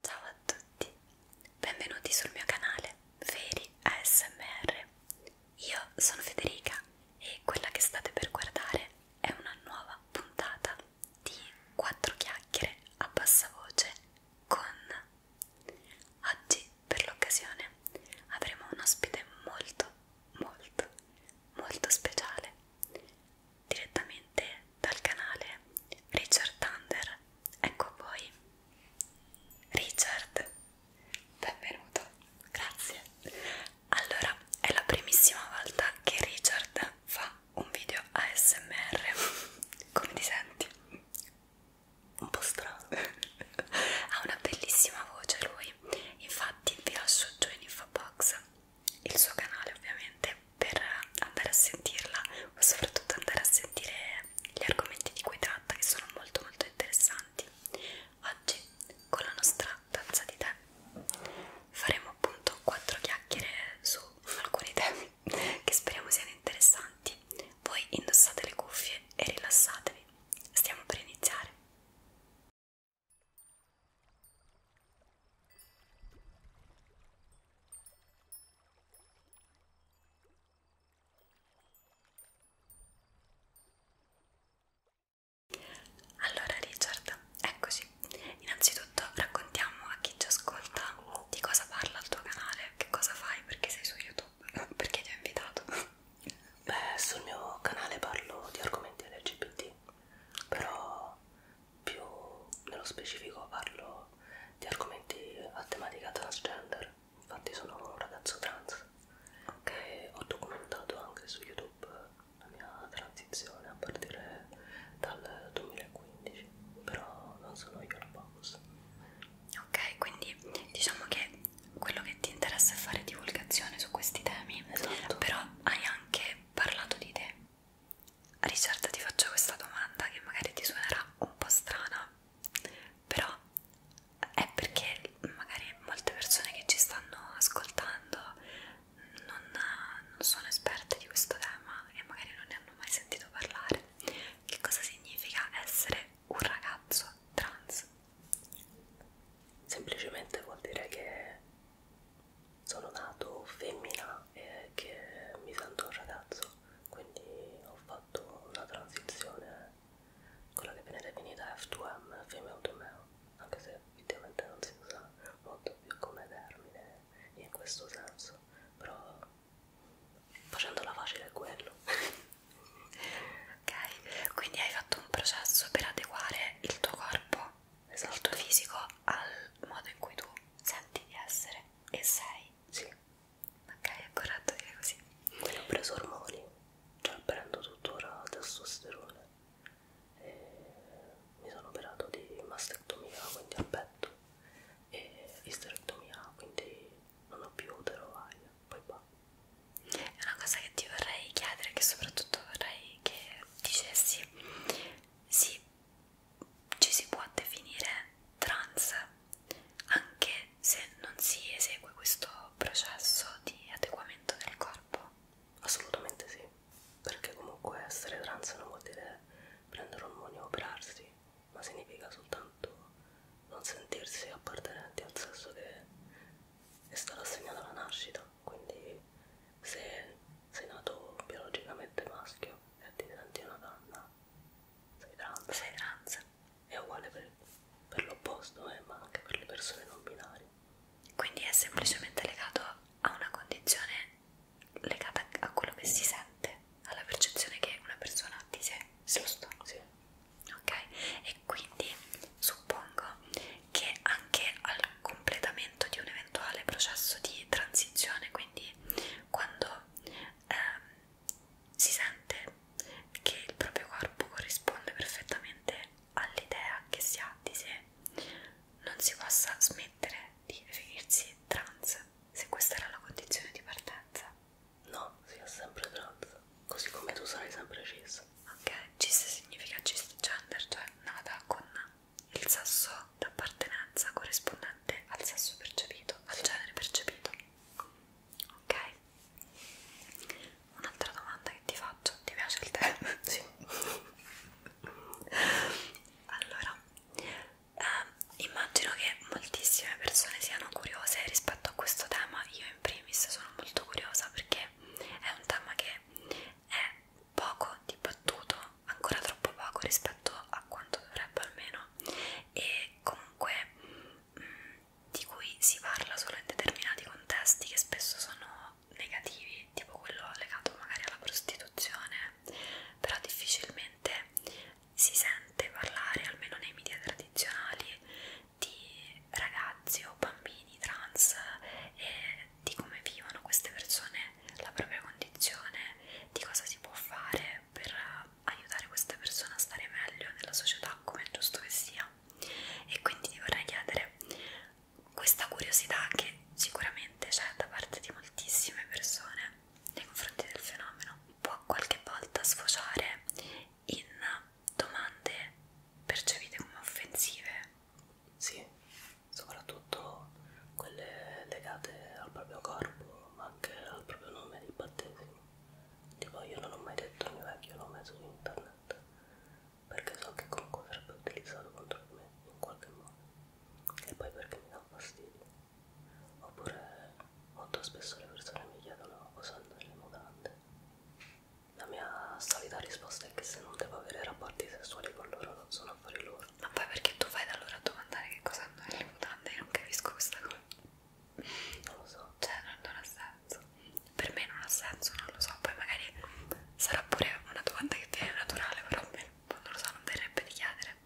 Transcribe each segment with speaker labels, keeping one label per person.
Speaker 1: Ciao a tutti, benvenuti sul mio canale Veri ASMR. Io sono Federica e quella che state per guardare è una nuova puntata di 4 chiacchiere a bassa voce con. Oggi per l'occasione avremo un ospite molto molto molto speciale direttamente dal canale Richard Thunder. Ecco voi, Richard, benvenuto, grazie. Allora, è la primissima volta che Richard fa un video ASMR. Come ti senti? Un po' strano. ha una bellissima voce lui. Infatti vi lascio giù in info box il suo canale ovviamente per andare a sentirla ma soprattutto andare a sentire gli argomenti di cui tratta che sono molto molto interessanti oggi con la nostra tazza di tè faremo appunto quattro chiacchiere su alcuni temi che speriamo siano interessanti voi indossate le cuffie e rilassatevi stiamo per iniziare allora Richard, eccoci. Innanzitutto raccontiamo a chi ci ascolta di cosa parla il tuo canale, che cosa fai, perché sei su YouTube, perché ti ho invitato. Beh, sul mio canale parlo di argomenti LGBT, però
Speaker 2: più nello specifico parlo di argomenti a tematica transgender, infatti sono un ragazzo trans che ho documentato anche su YouTube la mia transizione a partire dal 2015, però non sono io la boss.
Speaker 1: Ok, quindi diciamo che quello che ti interessa è fare divulgazione su questi temi, esatto. però hai anche parlato di te. Richard ti faccio questa domanda che magari ti suonerà un po' strana però è perché magari molte persone che ci stanno ascoltando non, non sono esperte di questo tema e magari non ne hanno mai sentito parlare
Speaker 2: che cosa significa essere un ragazzo trans semplicemente vuol dire che sono nato femmina e eh, che mi sento un ragazzo, quindi ho fatto una transizione, quella che viene definita F2M, female to male, anche se effettivamente non si usa molto più come termine in questo senso, però facendola facile è quello. ok,
Speaker 1: quindi hai fatto un processo per adeguare il tuo corpo, esatto. il tuo esatto. fisico al
Speaker 2: modo in cui tu senti di essere
Speaker 1: e sei?
Speaker 2: Sì. Ok, è corretto dire così. Quindi ho preso ormoni, cioè prendo tuttora testosterone. E mi sono operato
Speaker 1: di mastectomia, quindi al petto, e isterectomia, quindi non ho più utero varia. Poi va. È una cosa che ti vorrei chiedere, che soprattutto vorrei che dicessi sì ci si può definire trans anche se non si esegue questo processo di adeguamento del corpo? Assolutamente sì, perché comunque essere trans non vuol
Speaker 2: dire prendere ormoni o operarsi, ma significa soltanto non sentirsi appartenenti al sesso che è stato assegnato alla nascita, quindi se sei nato biologicamente maschio e ti senti una donna,
Speaker 1: sei trans, sei trans. è uguale per, per l'opposto, eh, ma anche per le persone non binarie. Quindi è semplicemente legato a una condizione legata a quello che si sente, alla percezione che una persona ha di sé, giusto? Sì. Ok, e quindi suppongo che anche al completamento di un eventuale processo di transizione, quindi quando ehm, si sente che il proprio corpo corrisponde perfettamente all'idea che si ha di sé, non si possa
Speaker 2: smettere di definirsi trans se questa era la condizione di partenza. No, si è sempre trans, così come tu sarai sempre cis. Ok,
Speaker 1: cis significa cisgender, cioè nata con il sasso d'appartenenza corrispondente al sasso percepito, al genere percepito. Ok? Un'altra domanda che ti faccio, ti piace il tè? sì. allora, eh, immagino che moltissime persone siano curiose rispetto a questo tema, io in primis sono molto curiosa perché è un tema che è poco dibattuto, ancora troppo poco rispetto a quanto dovrebbe almeno e comunque mh, mm, di cui si parla solo in determinati contesti che spesso sono negativi, tipo quello legato magari alla prostituzione, però difficilmente si sente parlare, almeno nei media tradizionali, di ragazzi o bambini trans e di come vivono queste persone la propria condizione, di cosa si può fare per aiutare questa persona a stare meglio nella società come è giusto che sia e quindi ti vorrei chiedere questa curiosità che sicuramente c'è da parte di moltissime persone nei confronti del fenomeno può qualche volta sfociare in
Speaker 2: domande percepite come offensive? Sì, soprattutto quelle legate al proprio corpo, ma anche al proprio nome di battesimo. Tipo io non ho mai detto il mio vecchio nome su internet, perché so che comunque sarebbe utilizzato contro di me in qualche modo,
Speaker 1: e poi perché mi dà fastidio. Oppure molto spesso le persone mi chiedono cosa hanno le mutande. La mia solita risposta è che se non devo avere rapporti sessuali con loro non sono affari loro. Ma poi perché tu vai da loro a domandare che cosa hanno nelle mutande? Io non capisco questa cosa. Non lo so. Cioè, non, non ha senso. Per me non ha senso, non lo so. Poi magari sarà pure una domanda che viene naturale, però a me non lo so, non verrebbe di chiedere.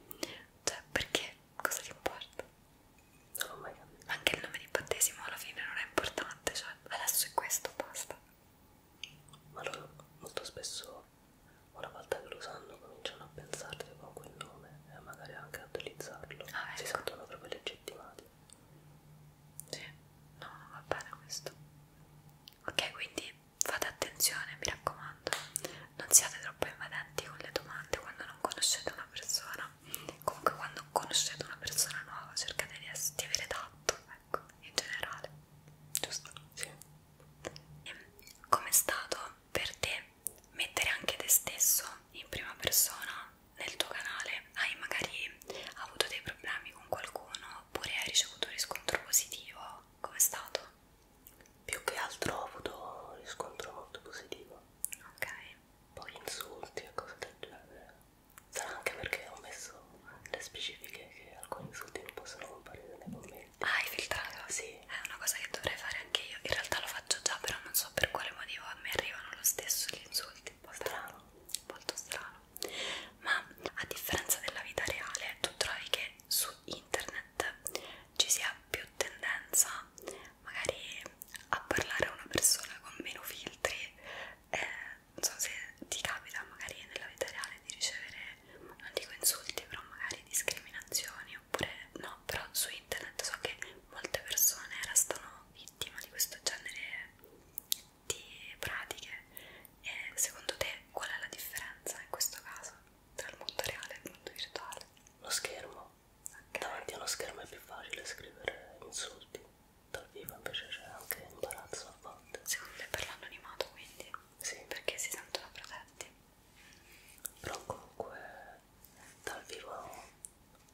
Speaker 1: Cioè,
Speaker 2: perché? Cosa ti importa? Non l'ho mai capito. Anche il nome di battesimo alla fine non è importante, cioè adesso è questo, basta. Ma loro molto spesso so, una volta che lo sanno cominciano a pensarti con quel nome e magari anche a utilizzarlo, ah, ecco. si sentono proprio legittimati.
Speaker 1: Sì, no, no, va bene questo. Ok, quindi fate attenzione, mi raccomando, non siate troppo invadenti con le domande quando non conoscete una persona. Comunque quando conoscete una persona nuova cercate di, di avere tatto, ecco, in generale. Giusto? Sì. Com'è stato per te mettere anche te stesso in prima persona nel tuo canale? Hai magari avuto dei problemi con qualcuno oppure hai ricevuto un riscontro positivo? Com'è stato? Più che altro ho avuto un riscontro molto positivo. Ok. Poi insulti e cose del genere. Sarà anche perché ho messo le specifiche che alcuni insulti non possono comparire nei commenti. Ah, hai filtrato? Sì, è una cosa che dovrei fare anche io. In realtà lo faccio già, però non so per quale motivo a me arrivano lo stesso gli insulti. Un po' strano, molto strano. Ma a differenza della vita reale, tu trovi che su internet ci sia più tendenza magari a parlare a una persona con meno filtri. Eh, non so se ti capita magari nella vita reale di ricevere non dico insulti, però magari discriminazioni oppure no, però su internet so che molte persone restano vittime di questo genere di pratiche e secondo te qual è la differenza in questo caso tra il mondo reale e il mondo virtuale?
Speaker 2: Lo schermo, okay. davanti allo schermo è più facile scrivere insulti, dal vivo invece c'è anche imbarazzo a volte. Secondo me per l'anonimato quindi? Sì. Perché si sentono protetti? però comunque dal vivo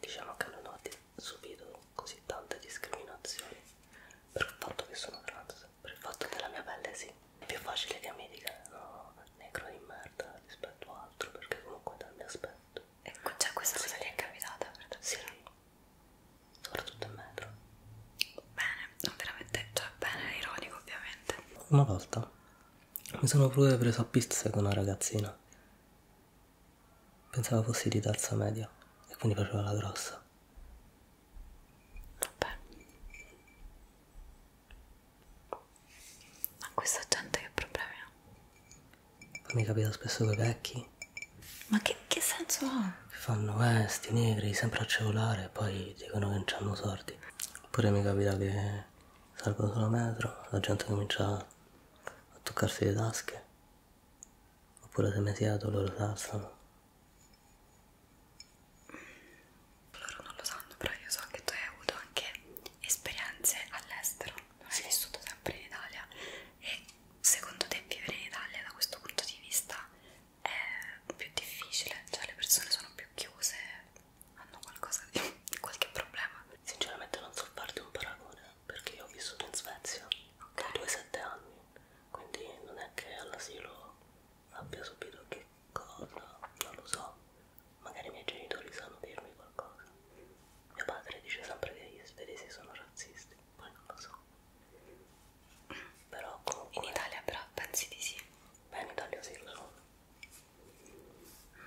Speaker 2: diciamo che non ho subito così tante discriminazioni per il fatto che sono trans per il fatto della mia pelle sì è più facile che mi dicano negro di merda rispetto a altro perché comunque dal mio aspetto e ecco, già cioè, questa sì. cosa gli è capitata? Sì, certo. soprattutto in metro bene, non veramente, cioè bene, ironico ovviamente. Una volta mi sono pure preso a pizze con una ragazzina. Pensavo fossi di terza media e quindi faceva la grossa. Vabbè. Ma questa gente che problemi ha? Mi capita spesso con i vecchi.
Speaker 1: Ma che, che senso
Speaker 2: ha? Che fanno eh, sti negri sempre a cevolare e poi dicono che non c'hanno sordi. Oppure mi capita che salgo sulla metro, la gente comincia a toccarsi le tasche, oppure se mi siedo loro si alzano. Loro non lo sanno, però io so che tu hai avuto anche
Speaker 1: esperienze all'estero, non hai sì. vissuto sempre in Italia e secondo te vivere in Italia da questo punto di vista è più difficile, cioè le persone
Speaker 2: sono più chiuse, hanno qualcosa di qualche problema. Sinceramente non so farti un paragone, perché io ho vissuto in Svezia okay. da 2-7 anni, quindi non è che all'asilo abbia subito che cosa, non lo so. Magari i miei genitori sanno dirmi qualcosa. Mio padre dice sempre che gli svedesi sono razzisti, poi non lo so. Però comunque... In Italia però pensi di sì bene Dario Sirlo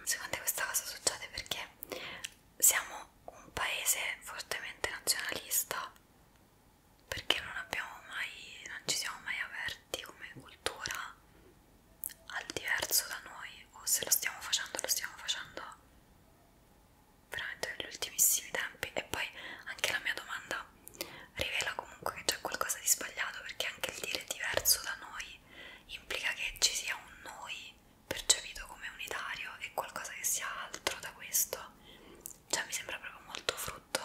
Speaker 2: secondo me questa cosa
Speaker 1: succede perché siamo un paese fortemente nazionalista perché non abbiamo mai non ci siamo mai aperti come cultura al diverso da noi o se lo stiamo facendo lo stiamo facendo veramente negli ultimissimi tempi e poi anche la mia domanda rivela comunque che c'è qualcosa di sbagliato perché anche il dire diverso da noi implica che ci sia un noi percepito come unitario e qualcosa che sia altro da questo cioè mi sembra proprio molto frutto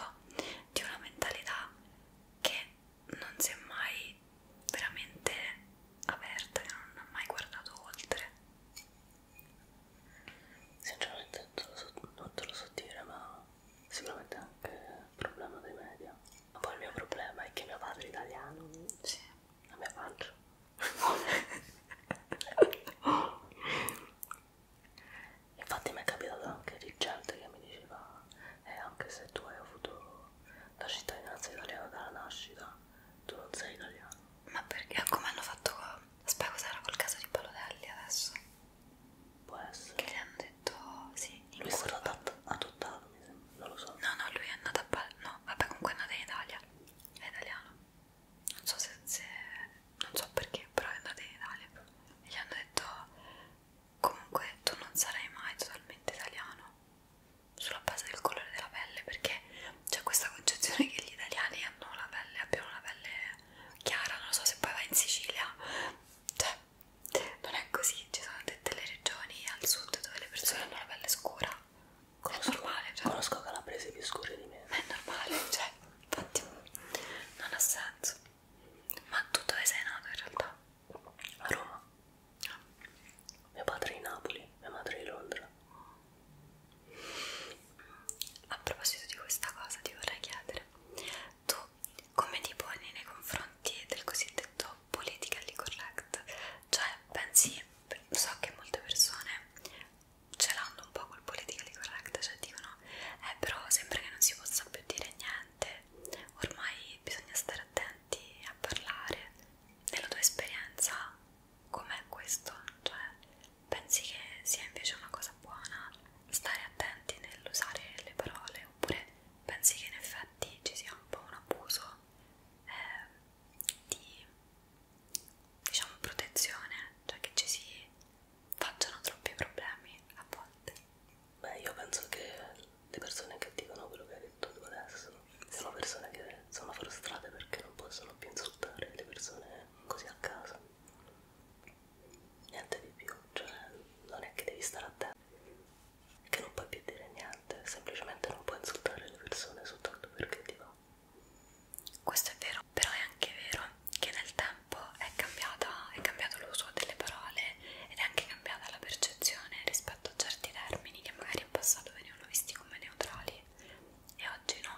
Speaker 1: di una mentalità che non si è mai veramente aperta che non ha mai guardato oltre sinceramente non te lo so, non te lo so dire ma sicuramente anche il problema dei media. Ma poi il mio problema è che mio padre è italiano.
Speaker 2: Sì. La mia pancia. Infatti mi è capitato anche di gente che mi diceva eh, anche se tu hai avuto la cittadinanza italiana dalla nascita, tu non sei italiano. Ma perché? Come hanno fatto? Aspetta, cos'era quel caso di Palodelli adesso? Può essere. Che gli hanno detto sì, in Lui è stato adottato, adottato, mi sembra, non lo so. No, no, lui è andato a Palermo. No,
Speaker 1: vabbè, comunque è andato in Italia. È italiano. Non so se, se non so perché, però è andato in Italia. E gli hanno detto comunque tu non sarai mai totalmente italiano sulla base del colore della pelle, perché c'è questa concezione che gli italiani hanno la pelle, abbiano la pelle chiara, non lo so se poi vai in Sicilia, cioè non è così, ci sono delle regioni al sud dove le persone sì. hanno la pelle scura, come è normale. Cioè. Conosco calabresi più scure di me. Ma è normale, cioè, infatti
Speaker 2: non ha senso. Ma tu dove sei nato in realtà? A Roma. Ah. Mio padre è di Napoli, mia madre è di Londra. A proposito di questa cosa ti
Speaker 1: vorrei chiedere, tu sono come ti poni nei confronti del cosiddetto politically correct cioè pensi so che molte persone ce l'hanno un po' col politically correct cioè dicono eh però sembra che non si possa più dire niente ormai bisogna stare attenti a parlare nella tua esperienza com'è questo cioè pensi che sia invece una cosa cosa buona stare attenti nell'usare le parole oppure pensi che in effetti ci sia un po' un abuso eh, di diciamo protezione cioè che ci si facciano troppi problemi a volte beh io
Speaker 2: penso che le persone che dicono quello che hai detto tu adesso sì. sono persone che sono frustrate perché non possono più insultare le persone così a caso niente di più, cioè non è che devi stare attento, è che non puoi più dire niente, semplicemente non puoi insultare le persone soltanto perché ti va.
Speaker 1: Questo è vero, però è anche vero che nel tempo è,
Speaker 2: cambiata, è cambiato l'uso
Speaker 1: delle parole ed è anche cambiata la percezione rispetto a certi termini che magari in passato venivano visti come neutrali e oggi no.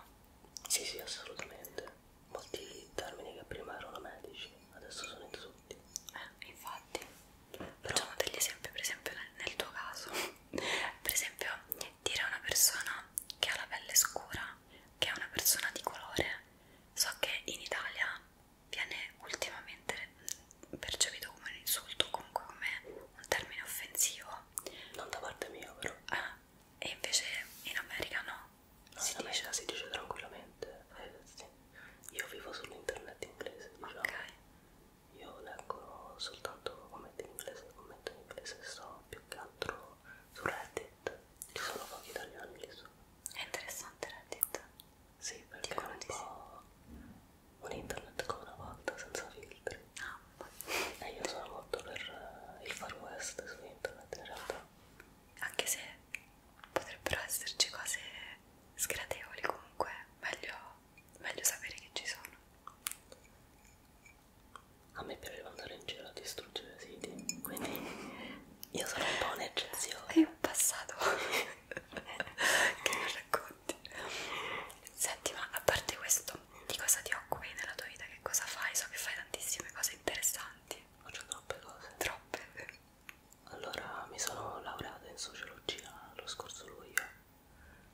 Speaker 1: Sì, sì, assolutamente
Speaker 2: molti termini che prima erano medici adesso sono in tutti eh, infatti facciamo degli esempi per esempio nel tuo caso per esempio
Speaker 1: dire a una persona che ha la pelle scura che è una persona di colore so che in Italia viene ultimamente percepito come un insulto comunque come un termine offensivo non da parte mia però eh, e
Speaker 2: invece in America no No, si, dice. America, si dice tranquillamente. Eh, sì. Io vivo sull'internet inglese, diciamo. Ok. Io leggo soltanto commenti in inglese, commento in inglese, sto più che altro su Reddit. Ci sono pochi italiani lì su. È interessante
Speaker 1: Reddit. Sì, perché è un po' un internet come una volta, senza filtri. Ah, e io sono molto per eh, il far west su internet in realtà. Anche se potrebbero esserci cose sgradevoli comunque, meglio, meglio sapere che ci
Speaker 2: sono. A me piaceva andare in giro a distruggere siti, quindi io sono un po' un'eccezione.
Speaker 1: È un passato che non racconti. Senti, ma a parte questo, di cosa
Speaker 2: ti occupi nella tua vita? Che cosa fai? So che fai tantissime cose interessanti. Faccio troppe cose. Troppe. Allora mi sono laureato in sociologia lo scorso luglio,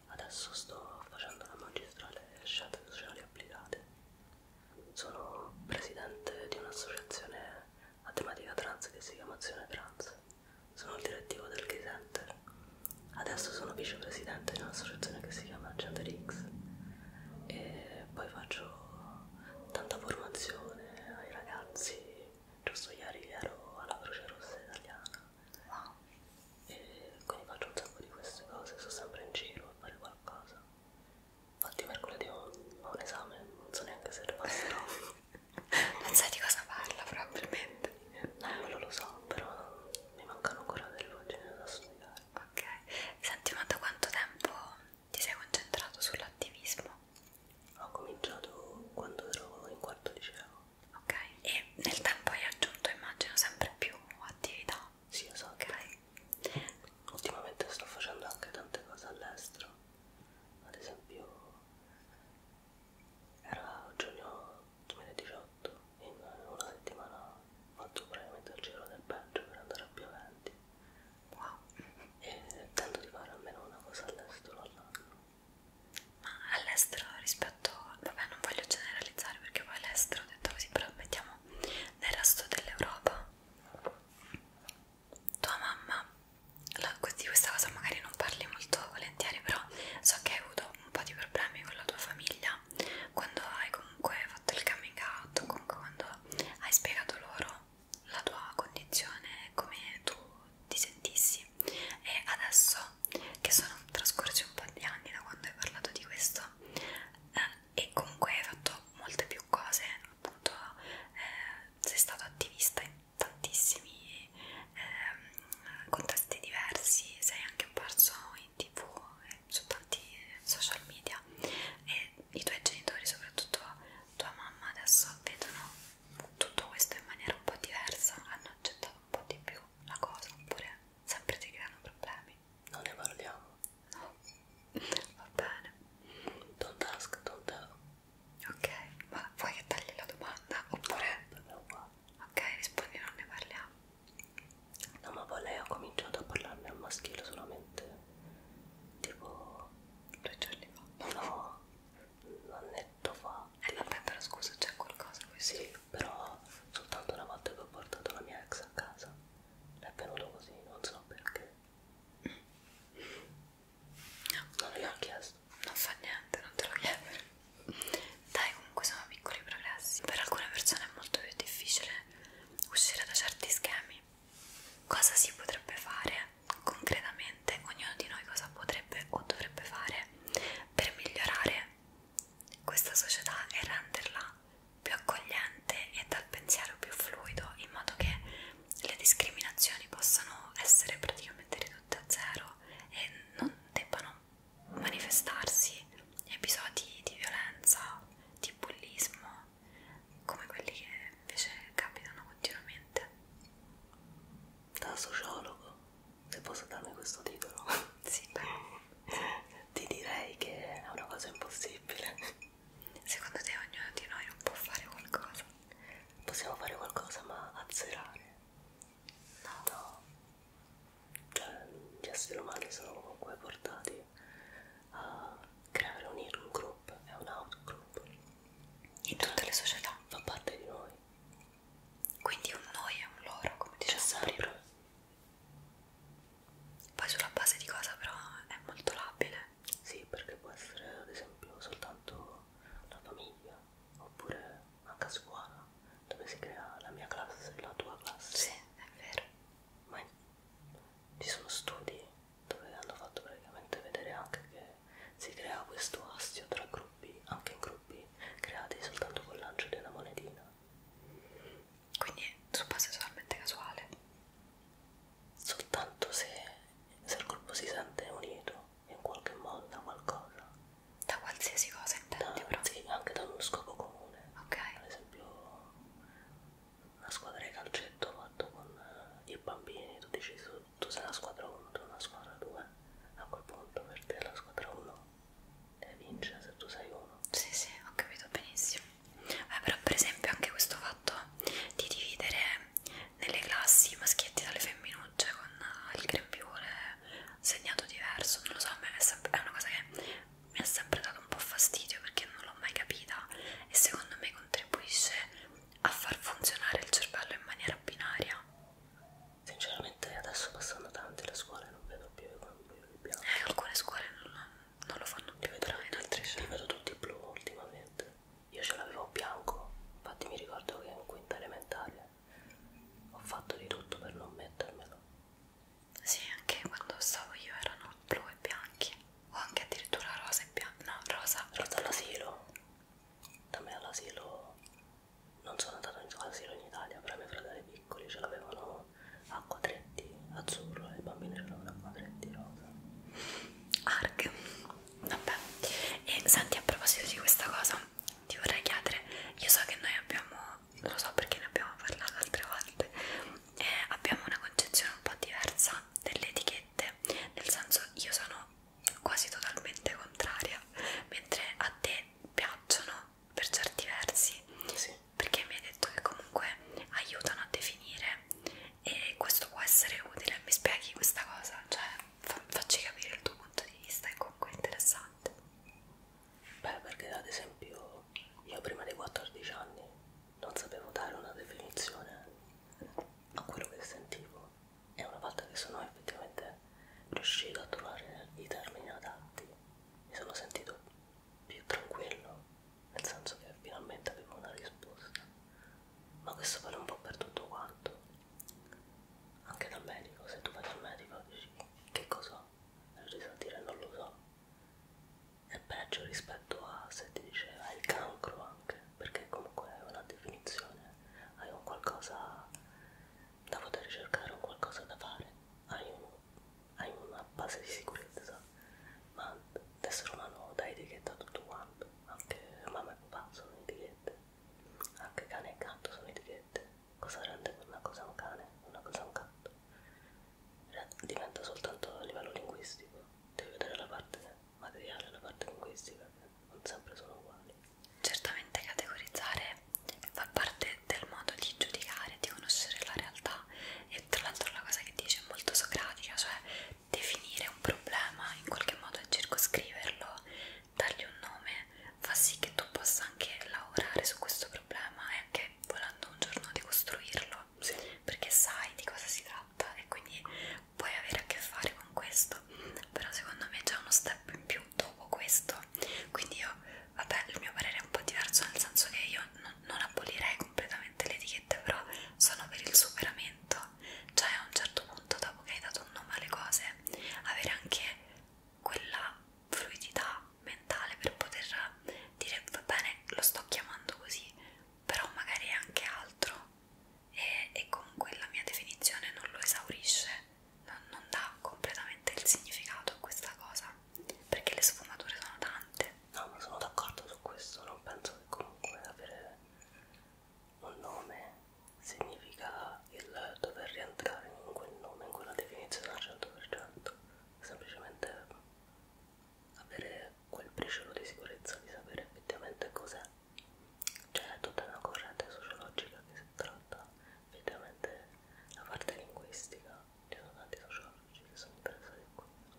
Speaker 2: adesso sto facendo la magistrale scienze sociali applicate. Sono presidente di un'associazione a tematica trans che si chiama Azione Trans, sono il direttivo del Gay Center, adesso sono vicepresidente di un'associazione che si chiama Gender X e poi faccio tanta formazione ai ragazzi, giusto ieri ero alla Croce Rossa Italiana wow. e quindi faccio un sacco di queste cose, sto sempre in giro a fare qualcosa. Infatti mercoledì ho, ho un esame, non so neanche
Speaker 1: se passerò. non sai di cosa parla probabilmente. No, quello lo so, però mi mancano ancora delle pagine da studiare. Ok, senti ma da quanto tempo ti sei concentrato sull'attivismo? Ho cominciato quando
Speaker 2: ero in quarto liceo. Ok, e nel tempo hai aggiunto immagino sempre più attività. Sì, esatto. Okay. Ultimamente sto facendo anche tante cose all'estero. Ad esempio, era giugno 2018 e in una settimana ho fatto praticamente il giro del Belgio per andare a Pioventi wow e eh, tento di fare almeno una cosa all'estero all'anno
Speaker 1: ma all'estero rispetto vabbè non voglio generalizzare perché poi all'estero detto così però mettiamo nel resto dell'Europa tua mamma la, di questa cosa magari non parli molto volentieri però so che hai avuto un po' di problemi con la tua famiglia quando hai comunque fatto il coming out comunque quando hai spiegato loro la tua condizione, come tu ti sentissi e adesso che sono trascorsi un po' di anni da quando hai parlato di questo eh, e comunque hai fatto molte più cose, appunto eh, sei stato attivista in tantissimi eh, contesti diversi, sei anche apparso in tv, eh, su tanti social media e e i tuoi genitori, soprattutto tua mamma, adesso vedono tutto questo in maniera un po' diversa, hanno accettato un po'
Speaker 2: di più la cosa, oppure sempre ti creano problemi. Non ne parliamo. No, va bene. Don't ask, don't tell. Ok,
Speaker 1: ma vuoi che tagli la domanda? Oppure... No, qua. Ok, rispondi, non
Speaker 2: ne parliamo. No, ma poi lei ha cominciato a parlarne al maschile solamente tipo due giorni fa no un annetto fa e eh, vabbè però scusa c'è qualcosa qui sì però soltanto una volta che ho portato la mia ex a casa è venuto così non so perché no. non gliel'ho chiesto non fa niente non te lo chiedere dai comunque sono
Speaker 1: piccoli progressi per alcune persone è molto più difficile uscire da certi schemi cosa si potrebbe fare concretamente, ognuno di noi cosa potrebbe o dovrebbe fare per migliorare questa società e renderla più accogliente e dal pensiero più fluido in modo che le discriminazioni possano essere praticamente ridotte a zero e non debbano manifestarsi episodi di violenza, di bullismo
Speaker 2: come quelli che invece capitano continuamente. Da sociologo, se posso darmi questo titolo, sì. ti direi che è una cosa impossibile. Secondo te ognuno di noi non può fare qualcosa? Possiamo fare qualcosa ma azzerare? No. no. Cioè, gli esseri umani sono comunque portati a
Speaker 1: creare, unire un gruppo, è un outgroup. In tutte le società. Fa parte di noi. Quindi un noi e un loro, come dicevamo
Speaker 2: prima. Poi sulla base di cosa però è molto labile. Sì, perché può essere ad esempio soltanto la famiglia, oppure anche a scuola, dove si crea la mia classe e la tua classe. Sì, è vero. Ma ci sono studi dove hanno fatto praticamente vedere anche che si crea questo astio tra gruppi, anche in gruppi creati soltanto col lancio di una monetina. Quindi su base totalmente casuale? Soltanto se, se il gruppo si sente unito in qualche modo da qualcosa. Da qualsiasi cosa intendi da, però? Sì, anche da uno scopo comune. Ok. Ad esempio una squadra di calcetto fatto con eh, i bambini, tu dici tu sei una squadra 1, tu sei una squadra 2, a quel punto per te la squadra 1 vince se tu sei uno. Sì, sì, ho capito benissimo.
Speaker 1: Eh, però per esempio anche questo fatto di dividere nelle classi i maschietti dalle femminucce cioè, con eh, il grembiule segnato diverso, non lo so, a me è una cosa che mi ha sempre dato un po' fastidio perché non l'ho mai capita e secondo
Speaker 2: me contribuisce a far funzionare il cervello in maniera binaria? Sinceramente adesso passando davanti alla scuola non vedo più i bianchi. Eh, alcune scuole non, non lo fanno più, vedo in altre Li vedo tutti blu ultimamente. Io ce l'avevo bianco, infatti mi ricordo che in quinta elementare ho fatto di tutto per non mettermelo.
Speaker 1: Sì, anche quando stavo io erano
Speaker 2: blu e bianchi
Speaker 1: o anche addirittura rosa e bianca, no, rosa.
Speaker 2: Rosa all'asilo, da me all'asilo, non sono andato in asilo in Italia, però i miei fratelli piccoli ce l'avevano
Speaker 1: a quadretti azzurro e i bambini ce l'avevano a quadretti rosa. Arc, vabbè, e senti a proposito di questa cosa, ti vorrei chiedere, io so che noi abbiamo, lo so perché ne abbiamo parlato altre volte, eh, abbiamo una concezione un po' diversa delle etichette totalmente nel senso io sono quasi totalmente contraria mentre a te piacciono per certi versi sì. perché mi hai detto che comunque aiutano a definire e questo può essere utile mi spieghi questa cosa cioè fa facci capire il tuo punto di vista è
Speaker 2: comunque interessante beh perché ad esempio io prima dei 14 anni non sapevo dare una definizione a quello che sentivo e una volta che sono effettivamente riuscito a trovare i termini adatti mi sono sentito più tranquillo nel senso che finalmente avevo una risposta ma questo vale un po' per tutto quanto anche dal medico se tu vai dal medico dici che cosa? e lui ti sa dire non lo so è peggio rispetto a se ti diceva il cancro anche, perché comunque hai una definizione, hai un qualcosa da poter cercare, un qualcosa da fare, hai, un, hai una base di sicurezza, ma l'essere umano dà etichetta a tutto quanto, anche mamma e papà sono etichette, anche cane e gatto sono etichette, cosa rende una cosa un cane, una cosa un gatto? diventa soltanto a livello linguistico, devi vedere la parte materiale e la parte linguistica, che non sempre sono uguali.
Speaker 1: Certamente categorizzare fa parte del modo di giudicare, di conoscere la realtà e tra l'altro la cosa che dice è molto socratica, cioè definire un problema in qualche modo e circoscriverlo, dargli un nome, fa sì che tu possa anche lavorare su questo problema e anche volendo un giorno di costruirlo fa sì. perché sai di cosa si tratta e quindi puoi avere a che fare con questo però secondo me c'è uno step in più dopo questo quindi io vabbè il mio parere è un po' diverso nel senso che io non, non abolirei completamente le etichette però sono per il superamento cioè a un certo punto dopo che hai dato un nome alle cose avere anche quella fluidità mentale per poter dire va bene lo sto chiamando così però magari è anche altro e, e comunque la mia definizione non lo esaurisce, non, non dà completamente il significato a questa cosa, perché le sfumature sono tante. No, ma sono d'accordo su questo, non penso che comunque avere un nome significa il dover rientrare in quel nome, in quella definizione al 100%, semplicemente
Speaker 2: avere quel briciolo di sicurezza di sapere effettivamente cos'è. C'è cioè, tutta una corrente sociologica che si tratta effettivamente la parte linguistica, ci sono tanti sociologi che sono interessati a questo.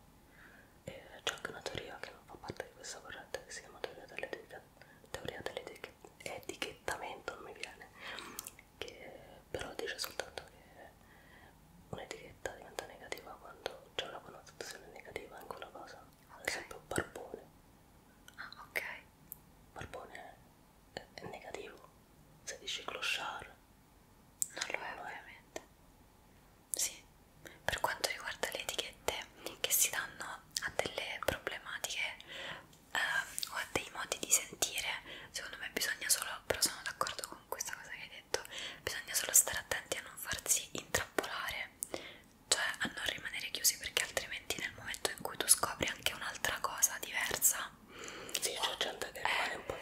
Speaker 2: E c'è anche una teoria che non fa parte di questa corrente che si chiama teoria dell'etichettamento, non mi viene, che però dice soltanto che un'etichetta diventa negativa quando c'è una connotazione negativa in quella cosa. Okay. Ad esempio barbone. Ah, ok. Barbone è, è negativo. Se dici clochard. Non lo è, ovviamente. Sì. Per quanto riguarda le etichette che si danno a
Speaker 1: delle problematiche eh, o a dei modi di sentire, secondo me bisogna solo, però sono d'accordo con questa cosa che hai detto momento, bisogna solo stare attenti a non farsi intrappolare, cioè a non rimanere chiusi perché altrimenti nel momento in cui tu scopri anche un'altra cosa diversa, sì, c'è gente che rimane eh, un po'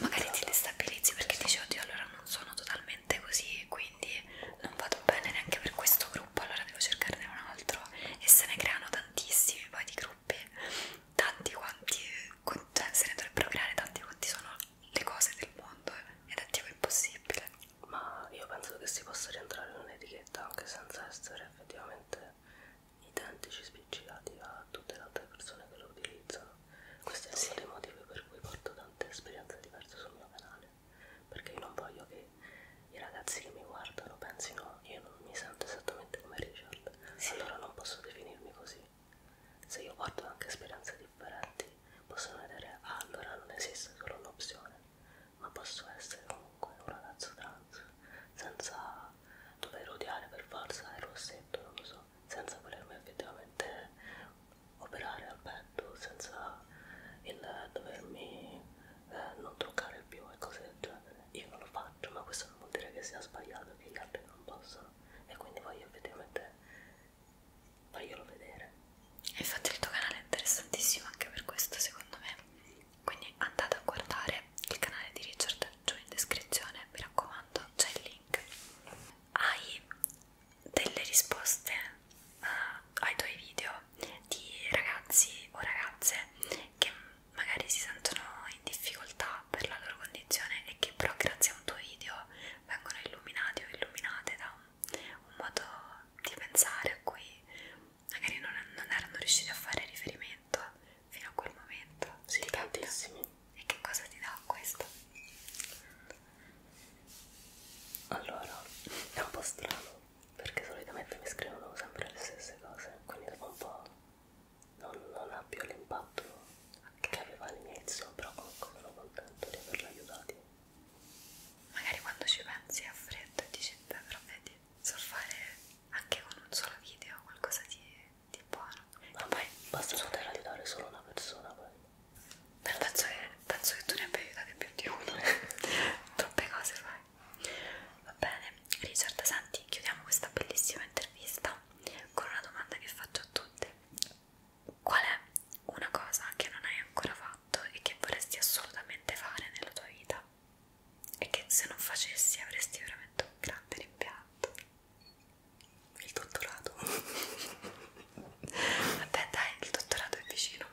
Speaker 1: magari ti destabilizzi perché dici oddio allora non sono totalmente così, quindi non vado bene neanche per questo gruppo, allora devo cercarne un altro e se ne creano tantissimi poi di gruppi tanti quanti, cioè se ne dovrebbero creare tanti quanti sono le cose del mondo eh.
Speaker 2: ed è tipo impossibile. Ma io penso che si possa rientrare in un'etichetta anche senza essere effettivamente identici, spiccicati a tutte le altre persone che lo utilizzano. Questo è sì. uno dei motivi per cui porto tante esperienze diverse sul mio canale, perché io non voglio che i ragazzi che mi guardano pensino io non mi sento esattamente come Richard, sì. allora non posso definirmi così. Se io porto anche speranze differenti, possono vedere, ah, allora non esiste solo un'opzione, ma posso essere comunque un ragazzo trans, senza dover odiare per forza il rossetto, non lo so, senza volermi effettivamente operare al petto, senza il dovermi eh, non truccare più e cose del genere. Io non lo faccio, ma questo non vuol dire che sia sbagliato, che gli altri non possono, e quindi voglio effettivamente faglielo vedere
Speaker 1: infatti il tuo canale è
Speaker 2: interessantissimo
Speaker 1: anche per questo secondo me quindi andate a guardare il canale di Richard giù in descrizione mi raccomando c'è il link hai delle risposte uh, ai tuoi video di ragazzi o ragazze che magari si sentono in difficoltà per la loro condizione e che però grazie a un tuo video vengono illuminati o illuminate da un, un modo di pensare a cui magari non, non erano riusciti a fare riferimento fino a quel momento. Sì, ti tantissimi. Capita? E che cosa ti dà questo? Allora, è un po' strano perché solitamente mi scrivono sempre le stesse cose, quindi dopo un po' non, non ha più l'impatto okay. che aveva all'inizio, però comunque sono contento di averla aiutati. Magari quando ci pensi a freddo e dici, beh, però vedi, so fare anche
Speaker 2: con un solo video qualcosa di, di buono. Ma poi basta poter aiutare solo una persona poi. Beh, penso che, penso che tu ne abbia aiutate più di uno.
Speaker 1: Troppe cose fai. Va bene, Richard, senti, chiudiamo questa bellissima intervista con una domanda che faccio a tutti qual è una cosa che non hai ancora fatto e che vorresti assolutamente fare nella tua vita e che se non facessi avresti veramente un grande rimpianto il dottorato vabbè dai il dottorato è vicino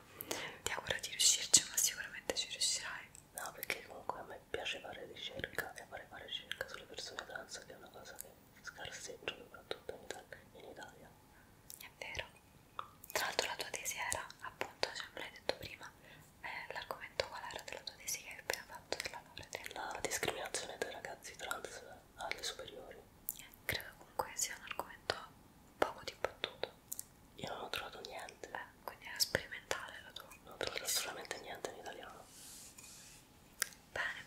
Speaker 2: ti auguro di riuscirci ma sicuramente ci riuscirai no perché comunque a me piace fare ricerca e vorrei fare ricerca sulle persone trans che è una cosa che scarseggio soprattutto in Italia. È vero. Tra l'altro la tua tesi era, appunto, cioè me l'hai detto prima, eh, l'argomento qual era della tua tesi che hai appena fatto della laurea? La discriminazione dei ragazzi trans alle superiori. Eh, credo comunque sia un argomento poco dibattuto. Io non ho trovato niente. Eh, quindi era sperimentale la tua. Non ho trovato assolutamente niente in italiano.
Speaker 1: Bene,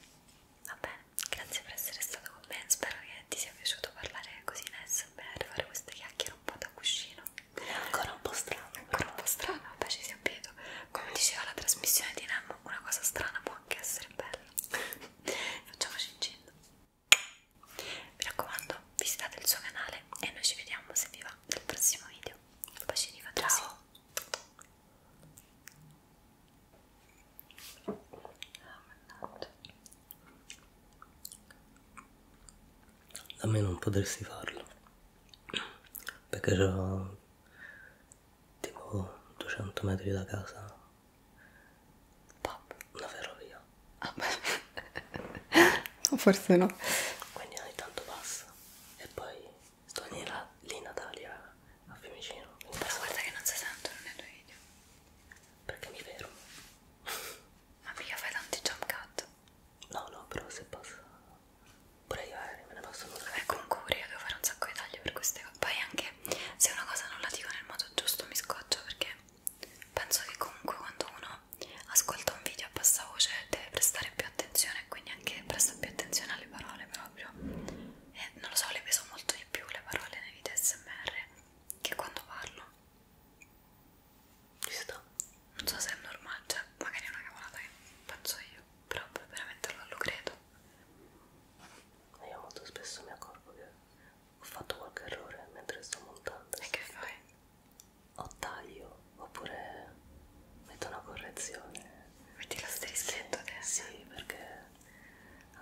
Speaker 1: va bene, grazie per essere stato con me, spero che ti sia piaciuto parlare così in SMR, fare queste chiacchiere un po' da cuscino. È ancora un po' strano, però. Ancora un po' strano, vabbè ci si abbitua. Come diceva la trasmissione di Nemo, una cosa strana può anche essere bella. Facciamoci in giro. Mi raccomando, visitate il suo canale e noi ci vediamo se vi va nel prossimo video. Bacini, ciao! Oh,
Speaker 2: mannaggia. A me non potresti farlo perché c'ho tipo 200 metri da casa Pop. una ferrovia. Ah, Forse no. Quindi ogni tanto passa e poi sto lì, la, lì Natalia a Fiumicino quindi... però guarda che non si sentono nei tuoi video perché mi fermo ma mica fai tanti jump cut no no però se passa
Speaker 1: pure io eh, me ne passo molto vabbè comunque pure io devo fare un sacco di tagli per queste cose poi anche se una cosa non la dico nel modo giusto mi scoccio perché penso che comunque quando uno ascolta un video a bassa voce deve prestare più attenzione quindi anche presta più attenzione alle parole però proprio e non lo so, le peso molto di più le parole nei video smr che quando parlo Visto? non so se è normale, cioè magari è una cavolata che faccio io però veramente non lo credo
Speaker 2: io molto spesso mi accorgo che ho fatto qualche errore mentre sto montando e che fai? o taglio oppure metto una correzione metti l'asterisco sì, sì perché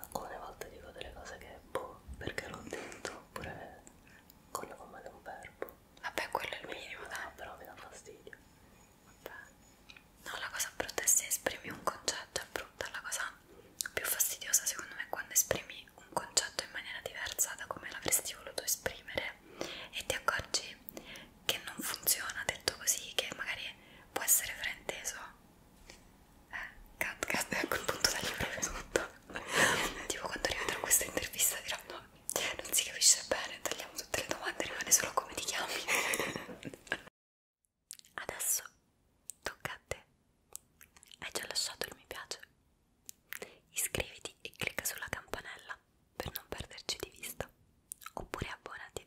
Speaker 2: alcune volte dico delle cose che boh, perché l'ho detto, oppure
Speaker 1: con come di un verbo. Vabbè, quello è il minimo, mi, dai. Però mi dà fastidio. Vabbè. No, la cosa brutta è se esprimi un concetto, è brutta. La cosa più fastidiosa, secondo me, è quando esprimi un concetto in maniera diversa da come l'avresti voluto esprimere e ti accorgi che non funziona detto così, che magari può essere frainteso eh, cat cat a quel punto taglio proprio tutto tipo quando rivedrò questa intervista dirò no, non si capisce bene tagliamo tutte le domande rimane solo come ti chiami adesso tocca a te hai già lasciato il mi piace iscriviti e clicca sulla campanella per non perderci di vista oppure abbonati